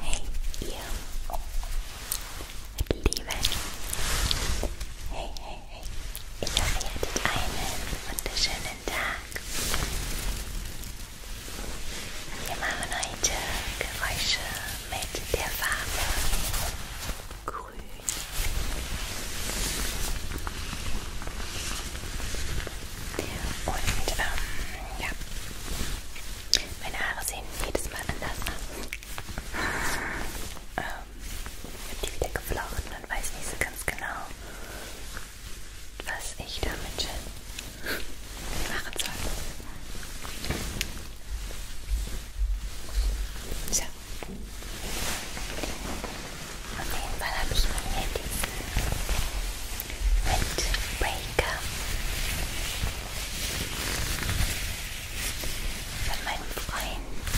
Hey ihr Lieben! Hey, hey, hey! Ich hoffe, ihr hattet einen wunderschönen Tag. Wir machen heute Geräusche mit der Farbe Grün. Und ähm, ja, meine Haare sehen jedes Mal anders aus. Ähm, ich habe die wieder geflochten und weiß nicht so ganz genau, was ich damit machen soll. So. Auf jeden Fall habe ich mir diesen Windbreaker. Von meinem Freund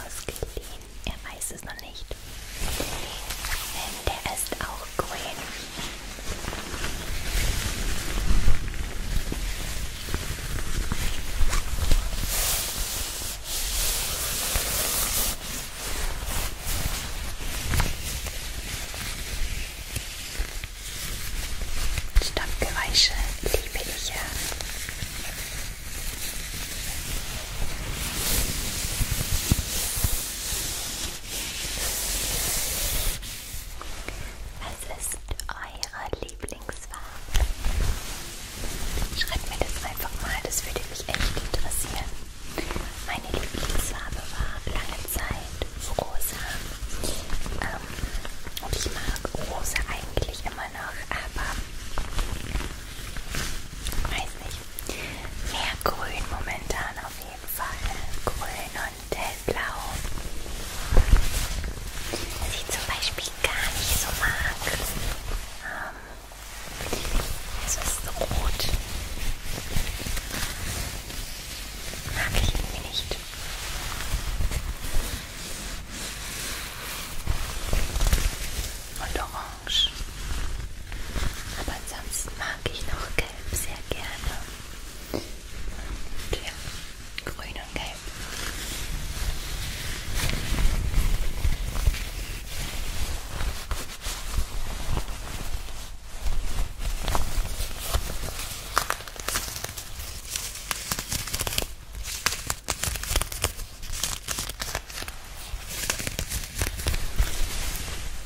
ausgeliehen. Er weiß es noch nicht. Denn der ist auch grün. Stammgeräusche liebe ich ja. Was ist eure Lieblingsfarbe? Schreibt mir das einfach mal, das würde mich echt interessieren. Meine Lieblingsfarbe war lange Zeit rosa. Ähm, und ich mag rosa eigentlich immer noch, aber weiß nicht. Mehr grün momentan auf jeden Fall. Grün und hellblau. Was ich zum Beispiel gar nicht so mag. Ähm, es ist rot. Mag ich irgendwie nicht. Und orange. Aber ansonsten mag ich noch gelb sehr gerne. Und ja, grün und gelb.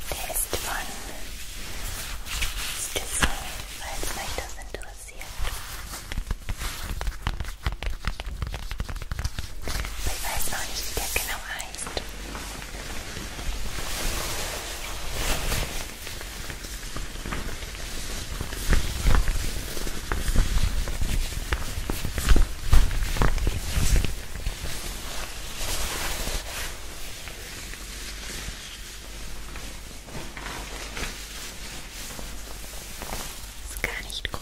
Der ist von Stissel, falls euch das interessiert. Ich weiß noch nicht, wie der genau heißt. Ist gar nicht groß.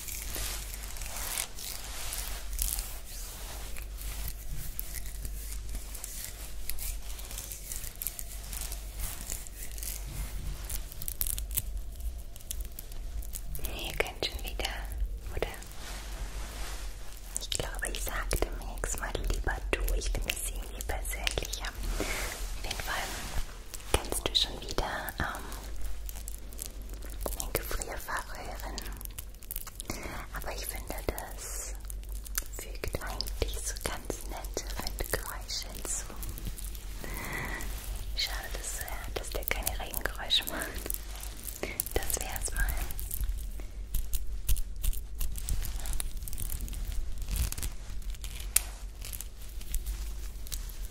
Ihr könnt schon wieder, oder? Ich glaube, ich sagte mir x-mal lieber du. Ich finde es irgendwie persönlicher. Auf jeden Fall kennst du schon wieder ähm, in den Gefrierfach rühren. Aber ich finde, das fügt eigentlich so ganz nette Windgeräusche hinzu. Schade, dass, äh, dass der keine Regengeräusche macht. Das wäre es mal.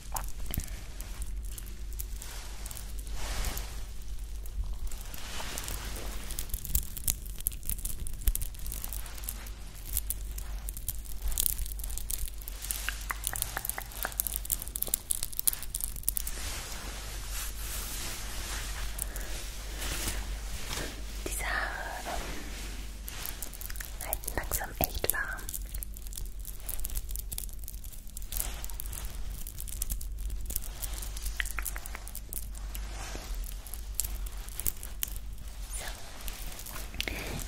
Diese Haare ähm, halten langsam echt warm.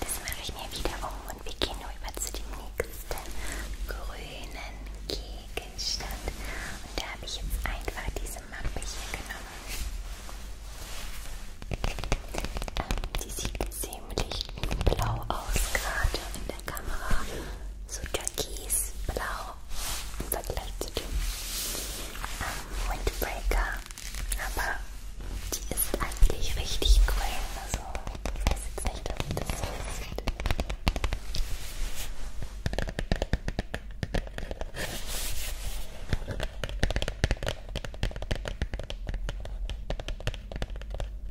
So, das mache ich mir wieder um und wir gehen rüber zu dem nächsten grünen Gegenstand. Und da habe ich jetzt einfach diese Mappe hier genommen. Ähm, die sieht ziemlich blau aus, gerade in der Kamera. So türkisblau im Vergleich zu dem ähm, Windbreaker. Aber die ist eigentlich richtig grün. Also, ich weiß jetzt nicht, ob das so aussieht.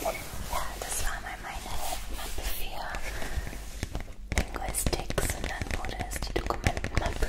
Ja, das war mal meine Mappe für Linguistics und dann wurde es die Dokumentenmappe.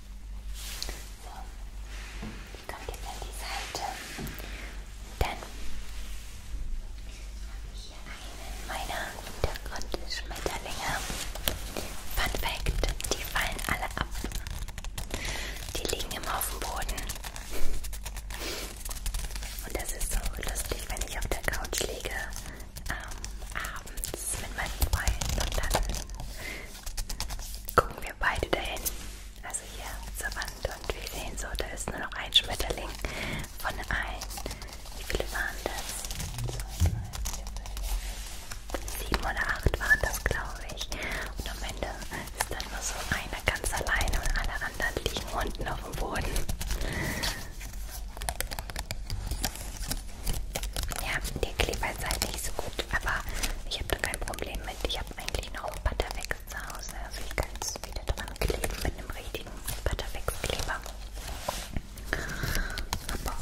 So, die kommt jetzt an die Seite. Dann habe ich hier einen meiner Hintergrundschmetterlinge. Fun Fact, die fallen alle ab. Die liegen immer auf dem Boden. Und das ist so lustig, wenn ich auf der Couch liege ähm, abends mit meinem Freund und dann gucken wir beide dahin. Also hier zur Wand und wir sehen so, da ist nur noch ein Schmetterling von allen. Wie viele waren das? Sieben oder acht waren das, glaube ich. Und am Ende ist dann nur so einer ganz alleine und alle anderen liegen unten auf dem Boden. Ja, der Kleber ist halt nicht so gut, aber ich habe da kein Problem mit. Ich habe eigentlich noch Butterwex zu Hause, also ich kann es wieder dran kleben mit einem richtigen Butterwex-Kleber. Aber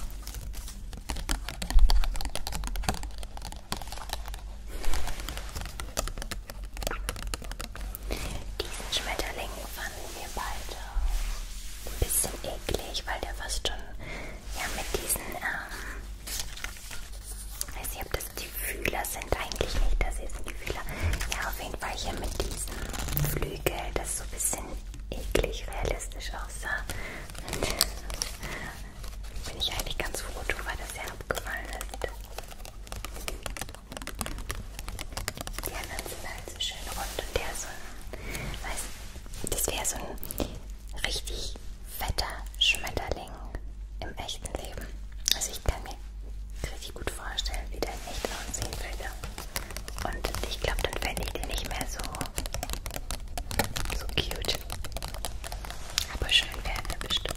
diesen Schmetterling fanden wir beide ein bisschen eklig, weil der fast schon ja, mit diesen, ähm, weiß nicht, ob das die Fühler sind, eigentlich nicht, das hier sind die Fühler. Ja, auf jeden Fall hier mit diesem Flügel, das so ein bisschen eklig realistisch aussah. Und bin ich eigentlich ganz froh drüber, dass er abgefallen ist. Die anderen sind halt so schön rund und der ist so ein, weiß, das wäre so ein richtig fetter Schmetterling im echten Leben. Also ich kann mir richtig gut vorstellen, wie der in echt aussehen würde. Und ich glaube, dann fände ich den nicht mehr so, so cute. Aber schön wäre er bestimmt.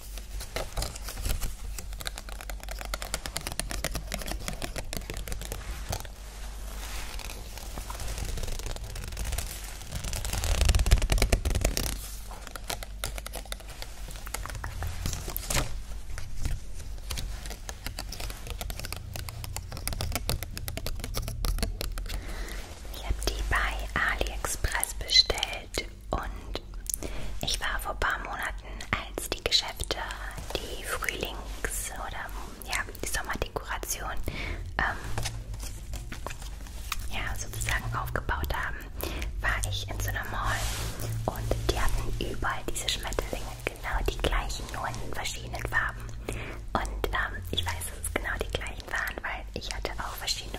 Ich habe die bei AliExpress bestellt. Und ich war vor ein paar Monaten, als die Geschäfte die Frühlings- oder ja, die Sommerdekoration ähm, ja, sozusagen aufgebaut haben, war ich in so einer Mall und die hatten überall diese Schmetterlinge, genau die gleichen, nur in verschiedenen Farben. Und ähm, ich weiß, dass es genau die gleichen waren, weil ich hatte auch verschiedene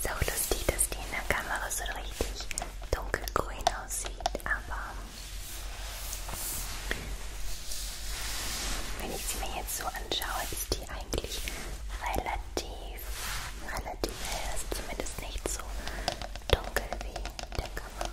So lustig, dass die in der Kamera so richtig dunkelgrün aussieht, aber wenn ich sie mir jetzt so anschaue, ist die eigentlich relativ, relativ hell, also zumindest nicht so dunkel wie in der Kamera.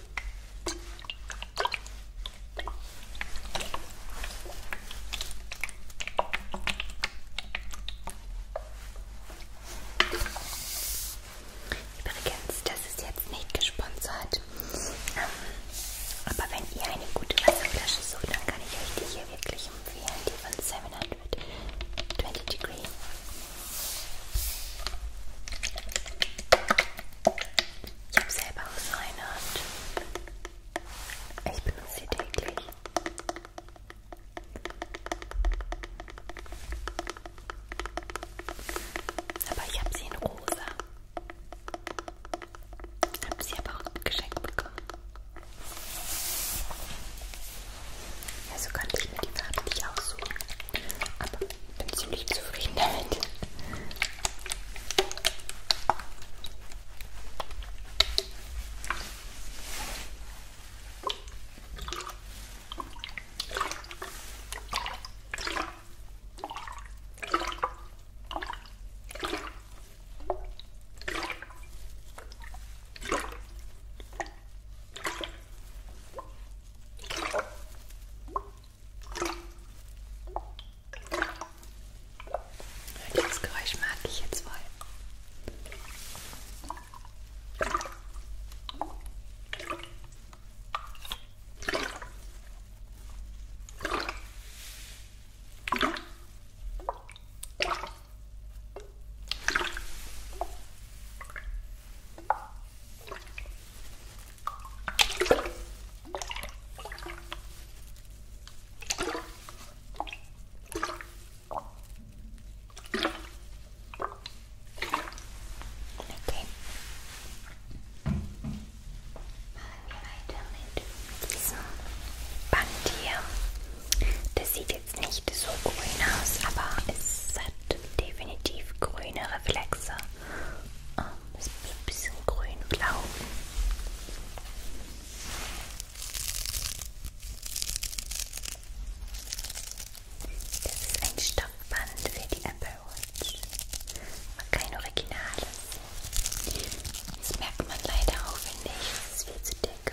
Übrigens, das ist jetzt nicht gesponsert. Ähm, aber wenn ihr eine gute Wasserflasche sucht, dann kann ich euch die hier wirklich empfehlen. Die von 720 Degree. Ich habe selber auch so eine und ich benutze sie täglich. Aber ich habe sie in rosa. Ich habe sie aber auch geschenkt bekommen. Ja, so konnte ich mir die Farbe nicht aussuchen. Aber bin ziemlich zufrieden damit. Das Geräusch mag ich jetzt voll. Okay. Machen wir weiter mit diesem Band hier. Das sieht jetzt nicht so grün aus, aber es hat definitiv grüne Reflexe. Ah, das ist ein bisschen grün-blau. Das ist ein Stoffband für die Apple Watch. Aber kein Originales. Das merkt man leider auch, wenn nicht. Das ist viel zu dick.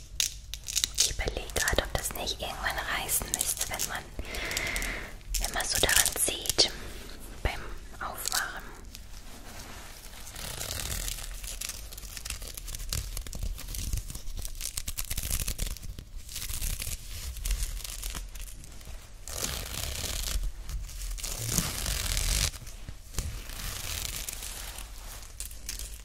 Ich überlege gerade, ob das nicht irgendwann reißen müsste, wenn man, wenn man so daran zieht beim Aufmachen.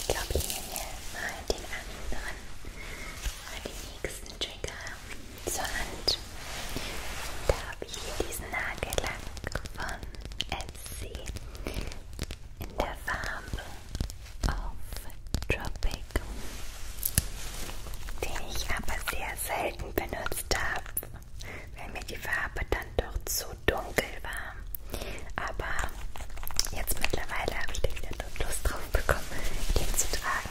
Ich glaube, ich nehme mir mal den anderen oder den nächsten Trigger zur Hand. Da habe ich hier diesen Nagellack von Ed sie in der Farbe auf Tropic, den ich aber sehr selten benutzt habe, weil mir die Farbe dann doch zu dunkel war. Aber jetzt mittlerweile habe ich da wieder Lust drauf bekommen, den zu tragen.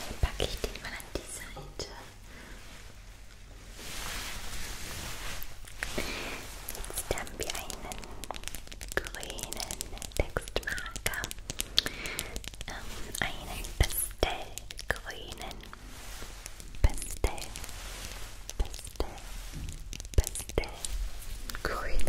Dann packe ich den mal an die Seite. Jetzt haben wir einen grünen Textmarker ähm, einen pastellgrünen, pastell, pastell, pastellgrünen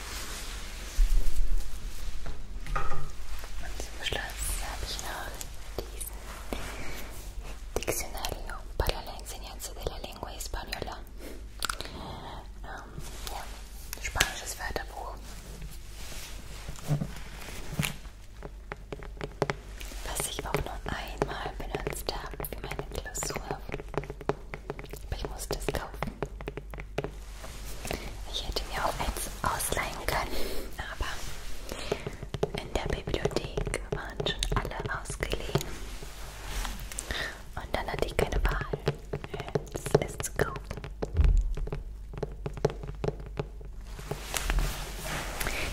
Und zum Schluss habe ich noch diesen Diccionario para la enseñanza de la lengua española. Ähm, ja, spanisches Wörterbuch. Was ich auch nur einmal benutzt habe für meine Klausur. Aber ich musste es kaufen. Ich hätte mir auch eins ausleihen können, aber in der Bibliothek waren schon alle ausgeliehen. Und dann hatte ich keine Wahl, als es zu kaufen.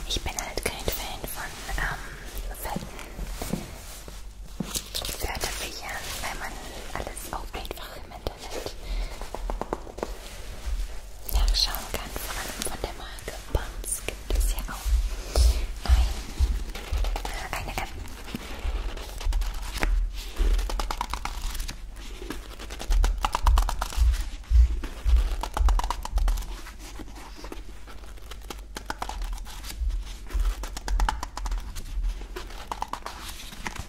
Ich bin halt kein Fan von ähm, fetten Wörterbüchern, weil man alles aufbläht, was im Internet nachschauen kann. Vor allem von der Marke Bums gibt es ja auch ein, eine App.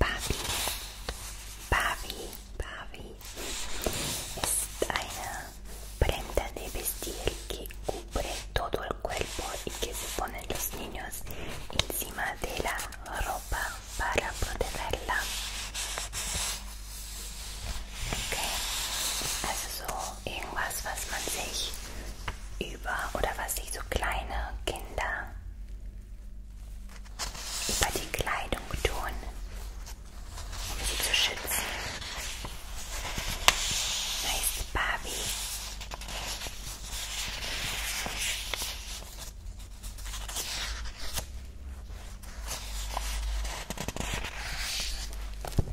papi papi Babi es una prenda de vestir que cubre todo el cuerpo y que se ponen los niños encima de la ropa para protegerla. Okay. Also so irgendwas, was man sich über oder was sich so kleine Kinder über die Kleidung tun, um sie zu schützen. Nice Barbie.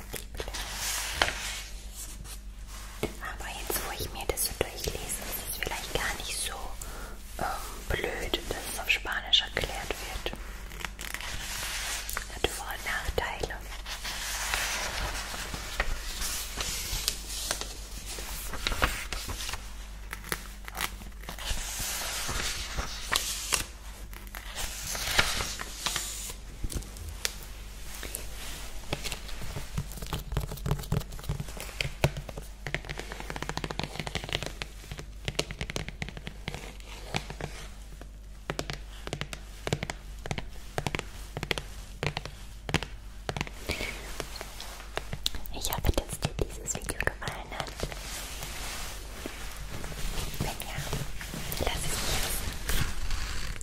kompatibel. Aber jetzt, wo ich mir das so durchlese, ist es vielleicht gar nicht so ähm, blöd, dass es auf Spanisch erklärt wird. Hat Vor- und Nachteile. Ich hoffe, dass dir dieses Video gefallen hat. Wenn ja, lass es mich wissen.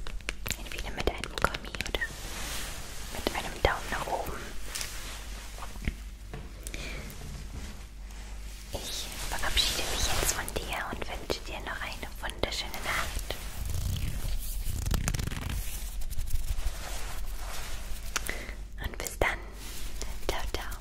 Entweder mit einem Kommi oder mit einem Daumen nach oben. Ich verabschiede mich jetzt von dir und wünsche dir noch eine wunderschöne Nacht. Und bis dann. Ciao, ciao.